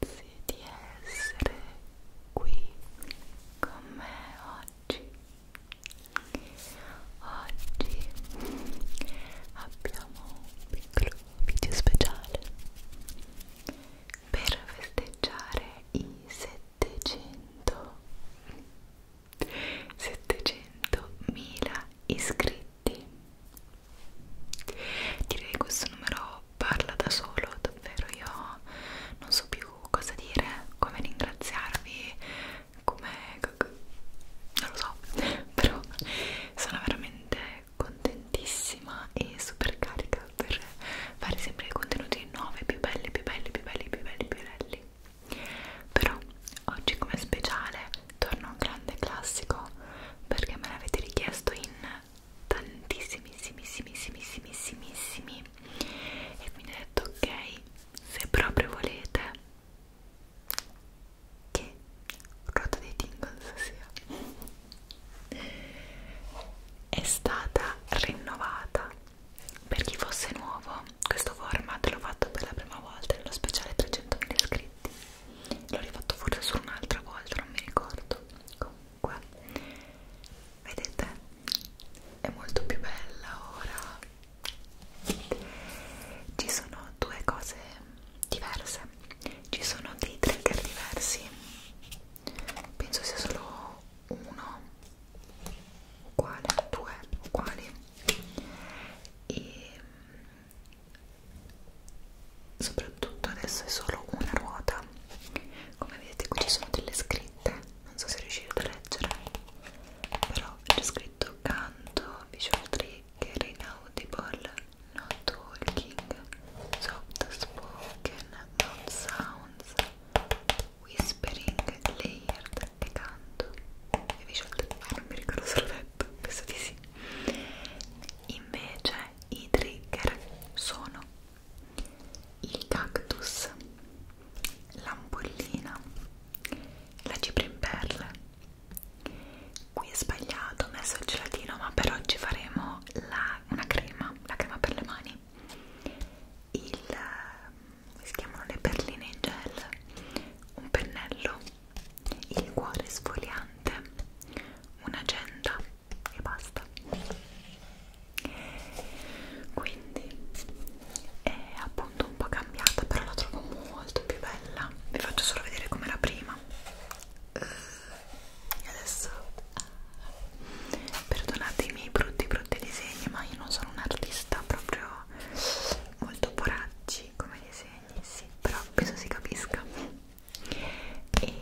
Grazie di essere qui con me oggi. Oggi abbiamo un piccolo video speciale per festeggiare i 700 700.000 iscritti Direi che questo numero parla da solo, davvero io non so più cosa dire, come ringraziarvi, come... non lo so, però sono veramente contentissima e super carica per fare sempre i contenuti nuovi, più belli, più belli, più belli, più belli, più belli. Però oggi come speciale torno a un grande classico perché me l'avete richiesto in tantissimissimissimissimissimissimissimi e quindi ho detto ok se proprio volete che rota dei tingles sia è stata rinnovata per chi fosse nuovo questo format l'ho fatto per la prima volta nello speciale 300.000 iscritti l'ho rifatto forse solo un'altra volta non mi ricordo comunque vedete è molto più bella ora ci sono due cose diverse ci sono dei trigger diversi penso sia solo uno uguale due uguali e soprattutto adesso è solo una ruota come vedete qui ci sono delle scritte non so se riuscirete a leggere però c'è scritto canto visual trigger inaudible no talking soft spoken not sounds whispering layered e canto e visual trigger ah, non mi ricordo se l'ho detto penso di sì Invece i trigger sono il cactus, l'ampollina, la cipria in perle. Qui è sbagliato, ho messo il gelatino, ma per oggi faremo la, una crema, la crema per le mani. Il, come eh, si chiamano le perline in gel? Un pennello il cuore sfoliante, un'agenda e basta. Quindi è appunto un po' cambiata, però la trovo molto più bella. Vi faccio solo vedere com'era prima. E eh, adesso perdonate i miei brutti brutti disegni, ma io non sono un artista proprio molto poracci come disegni, sì, però penso si capisca e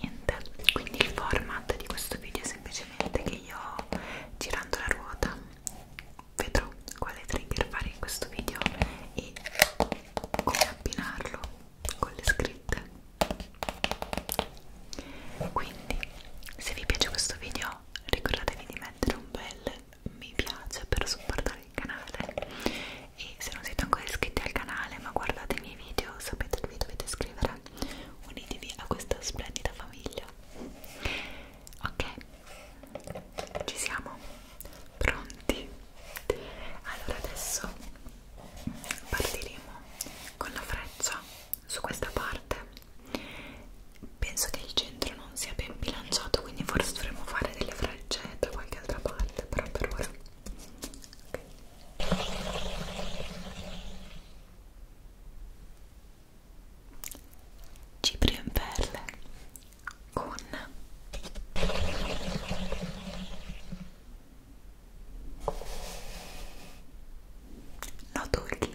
niente quindi il format di questo video è semplicemente che io girando la ruota vedrò quale trigger fare in questo video e come abbinarlo con le scritte quindi se vi piace questo video ricordatevi di mettere un bel mi piace per supportare il canale e se non siete ancora iscritti al canale ma guardate i miei video sapete che vi dovete iscrivere unitevi a questa splendida famiglia ok ci siamo pronti allora adesso partiremo con la freccia su questa parte penso che il centro non sia ben bilanciato quindi forse dovremmo fare delle frecce da qualche altra parte però per ora Okay. Cipria in perle con no talking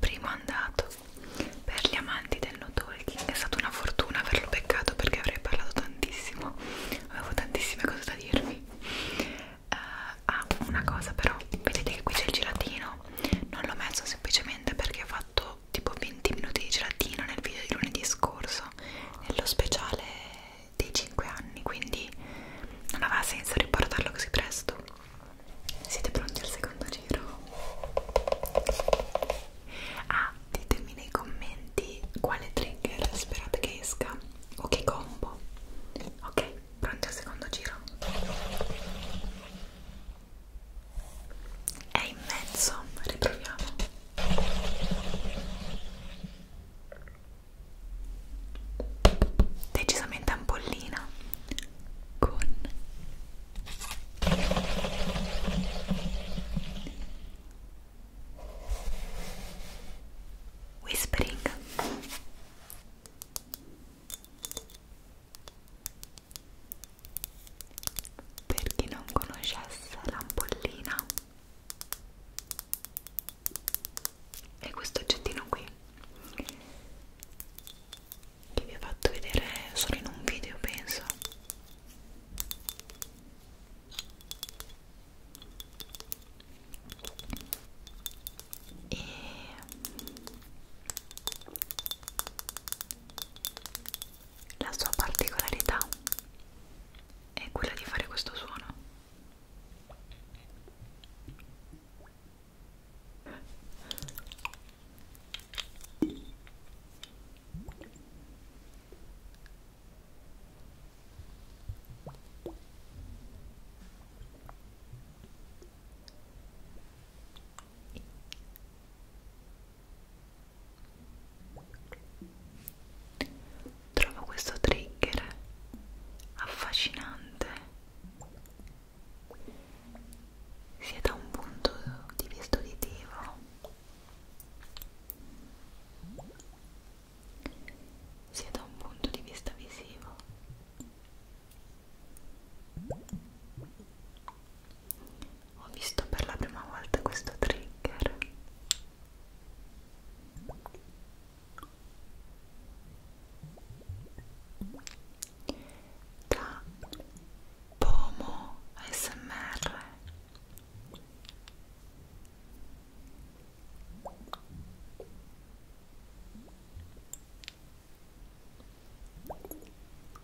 Primo andato per gli amanti del no talking è stata una fortuna averlo beccato perché avrei parlato tantissimo, avevo tantissime cose da dirvi. Uh, ah, una cosa però, vedete che qui c'è il gelatino, non l'ho messo semplicemente perché ho fatto tipo 20 minuti di gelatina nel video di lunedì scorso nello speciale dei 5 anni quindi non aveva senso riportarlo così presto siete pronti al secondo giro? ah ditemi nei commenti quale trigger sperate che esca o che combo ok pronti al secondo giro è in mezzo riproviamo decisamente ampollina con whispering per chi non conoscesse l'ampollina è questo oggettino qui che vi ho fatto vedere solo in un video penso e la sua particolarità è quella di fare questo suono. Trovo questo trigger affascinante sia da un punto di vista uditivo sia da un punto di vista visivo ho visto per la prima volta questo trigger da Pomo ASMR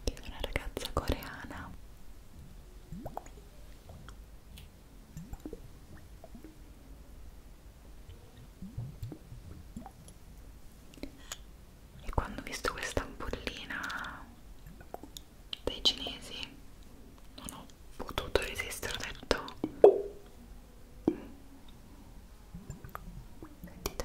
che è una ragazza coreana e quando ho visto questa ampollina dei cinesi non ho potuto resistere, ho detto sentite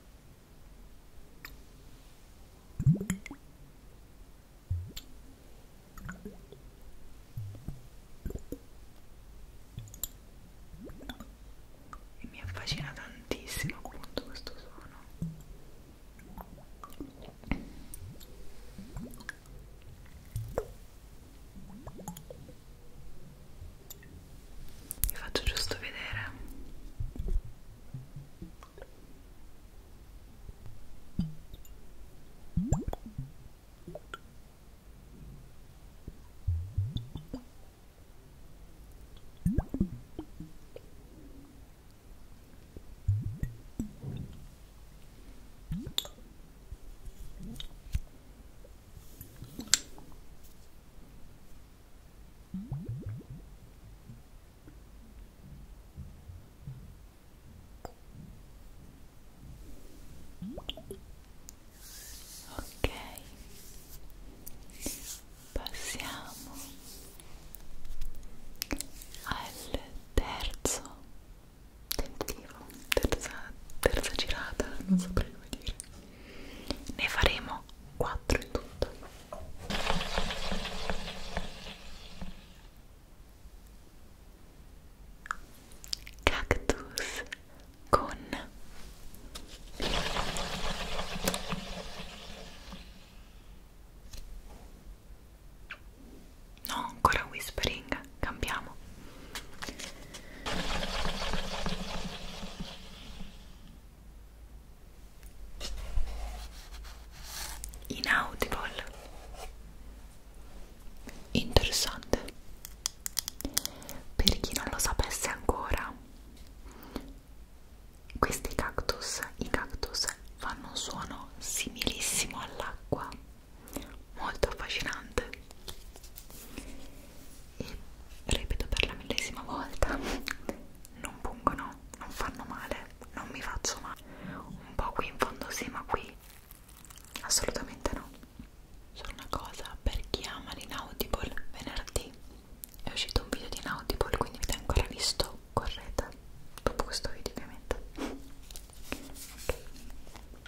e mi affascina tantissimo appunto questo suono vi faccio giusto vedere Ok, passiamo al terzo tentativo, terza, terza girata, non saprei come dire ne faremo 4 in tutto cactus con no ancora whispering cambiamo Inaudible Interessante Per chi non lo sapesse ancora Questi cactus, i cactus fanno un suono similissimo all'acqua Molto affascinante e ripeto per la millesima volta non pungono, non fanno male, non mi faccio male un po' qui in fondo sì ma qui assolutamente no solo una cosa, per chi ama l'Inaudible venerdì è uscito un video di Inaudible quindi avete ancora visto, correte dopo questo video ovviamente ok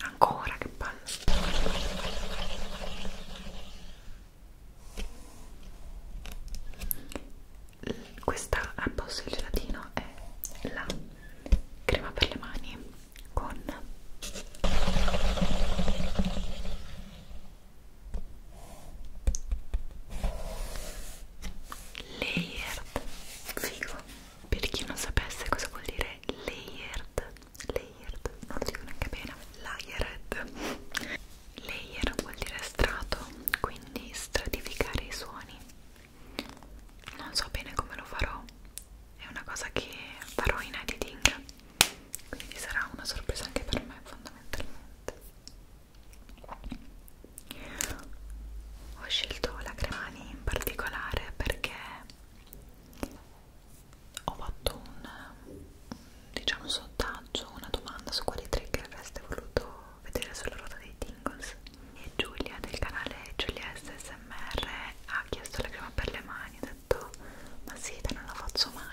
Ancora che palle. Questa al posto del gelatino è la crema per le mani con layered figo per chi non sapesse cosa vuol dire layered layered, non lo dico neanche bene, layered layer vuol dire strato, quindi stratificare i suoni non so bene come lo farò è una cosa che farò in editing quindi sarà una sorpresa anche per me fondamentalmente ho scelto la cremani in particolare perché ho fatto un diciamo sondaggio, una domanda su quali trigger avreste voluto vedere sulla ruota dei tingles e Giulia del canale Giulia SSMR ha chiesto la crema per le mani ho detto ma sì, te non la faccio mai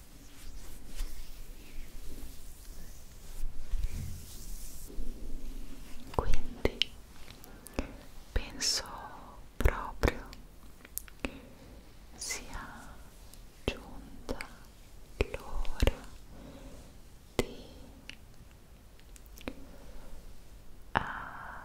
Quindi penso proprio sia giunta l'ora di abbassare ah,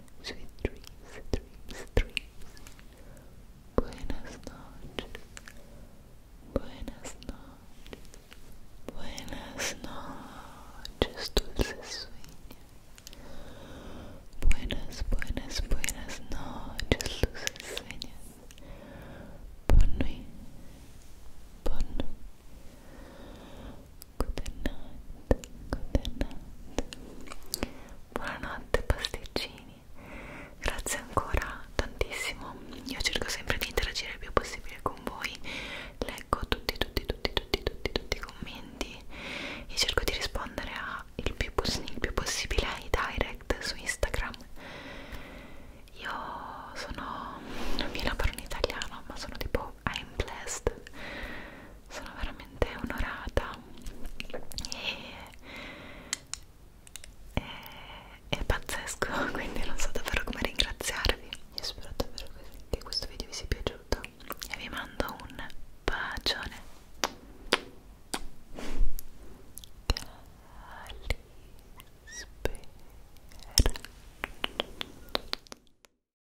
Sweet dreams, dreams, dreams. Buenas noches. Buenas noches. Buenas noches, dulces sueños. Buenas, buenas, buenas noches, dulces sueños. Bonne nuit. Bonne nuit. good night, good night buonanotte pasticcini grazie ancora tantissimo io cerco sempre di interagire il più possibile con voi leggo tutti tutti tutti tutti tutti tutti i commenti e cerco di rispondere a il più, il più possibile ai direct su Instagram io sono non mi la parlo in italiano ma sono tipo I'm blessed sono veramente onorata e, e è pazzesco quindi non so davvero come ringraziarvi io spero davvero che questo video vi sia piaciuto e vi mando un bacione Cali spera